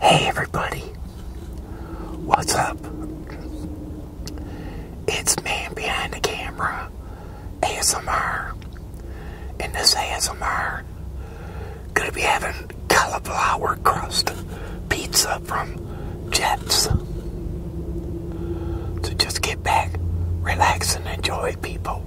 Hey everybody, what's up? It's Man Behind the Camera ASMR, and this ASMR gonna be having cauliflower crust pizza from Jets. So just get back, relax, and enjoy, people.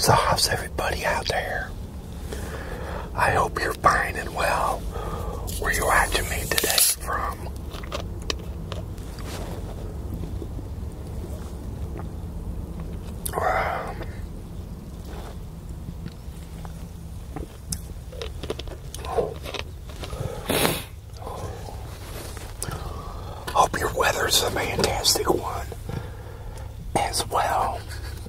So how's everybody out there? I hope you're fine and well where you're watching me today from. hope your weather's a fantastic one as well.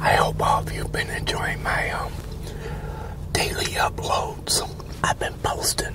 I hope all of you have been enjoying my um, daily uploads I've been posting.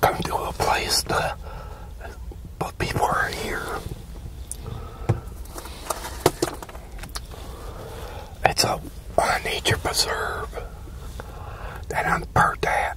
Come to a place to, but people are here. It's a, a nature preserve that I'm part at.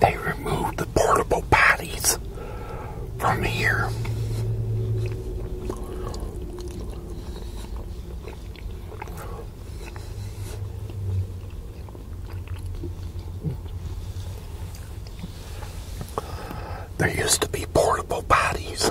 They removed the portable bodies from here. There used to be portable bodies.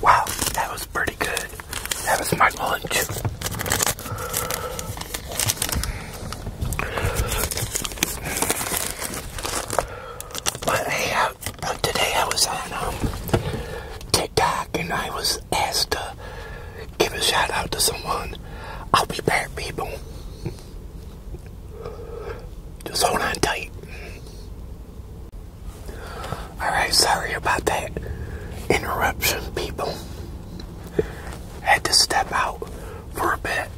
Wow, that was pretty good. That was my lunch. But hey, today I was on um, TikTok and I was asked to give a shout out to someone. I'll be back, people. Just hold on tight. Alright, sorry about that interruption, people. Had to step out for a bit.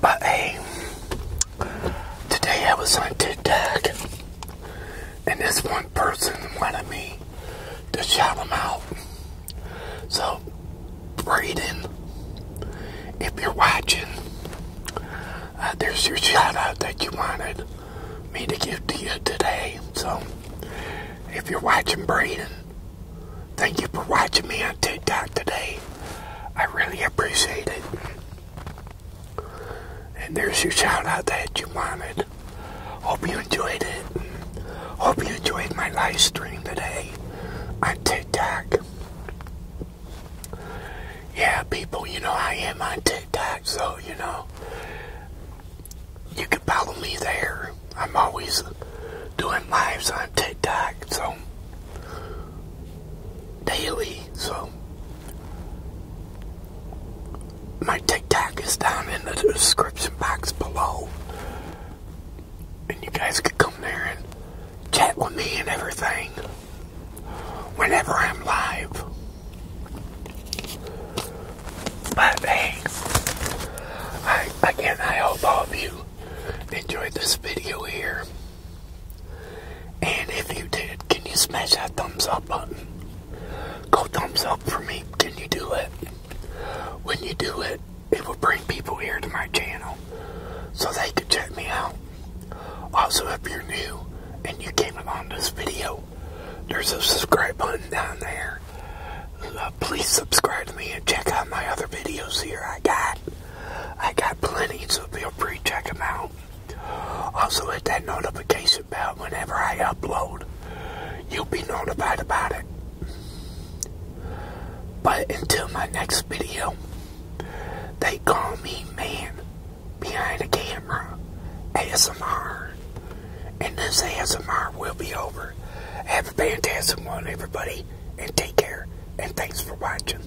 But today I was on TikTok and this one person wanted me to shout them out. So, Braden, if you're watching, uh, there's your shout out that you wanted me to give to you today. So, if you're watching, Braden, thank you for watching me on TikTok today. I really appreciate it. And there's your shoutout that you wanted. Hope you enjoyed it. Hope you enjoyed my live stream today on TikTok. Yeah, people, you know I am on TikTok, so you know you can follow me there. I'm always doing lives on TikTok, so daily so my Tic Tac is down in the description box below. And you guys could come there and chat with me and everything whenever I'm live. But hey, again, I hope all of you enjoyed this video here. And if you did, can you smash that thumbs up button? Go thumbs up for me. Can you do it? When you do it, it will bring people here to my channel so they can check me out. Also, if you're new and you came along this video, there's a subscribe button down there. Uh, please subscribe to me and check out my other videos here I got. I got plenty, so feel free to check them out. Also hit that notification bell whenever I upload. You'll be notified about it. But until my next video, they call me man behind the camera ASMR. And this ASMR will be over. Have a fantastic one, everybody, and take care, and thanks for watching.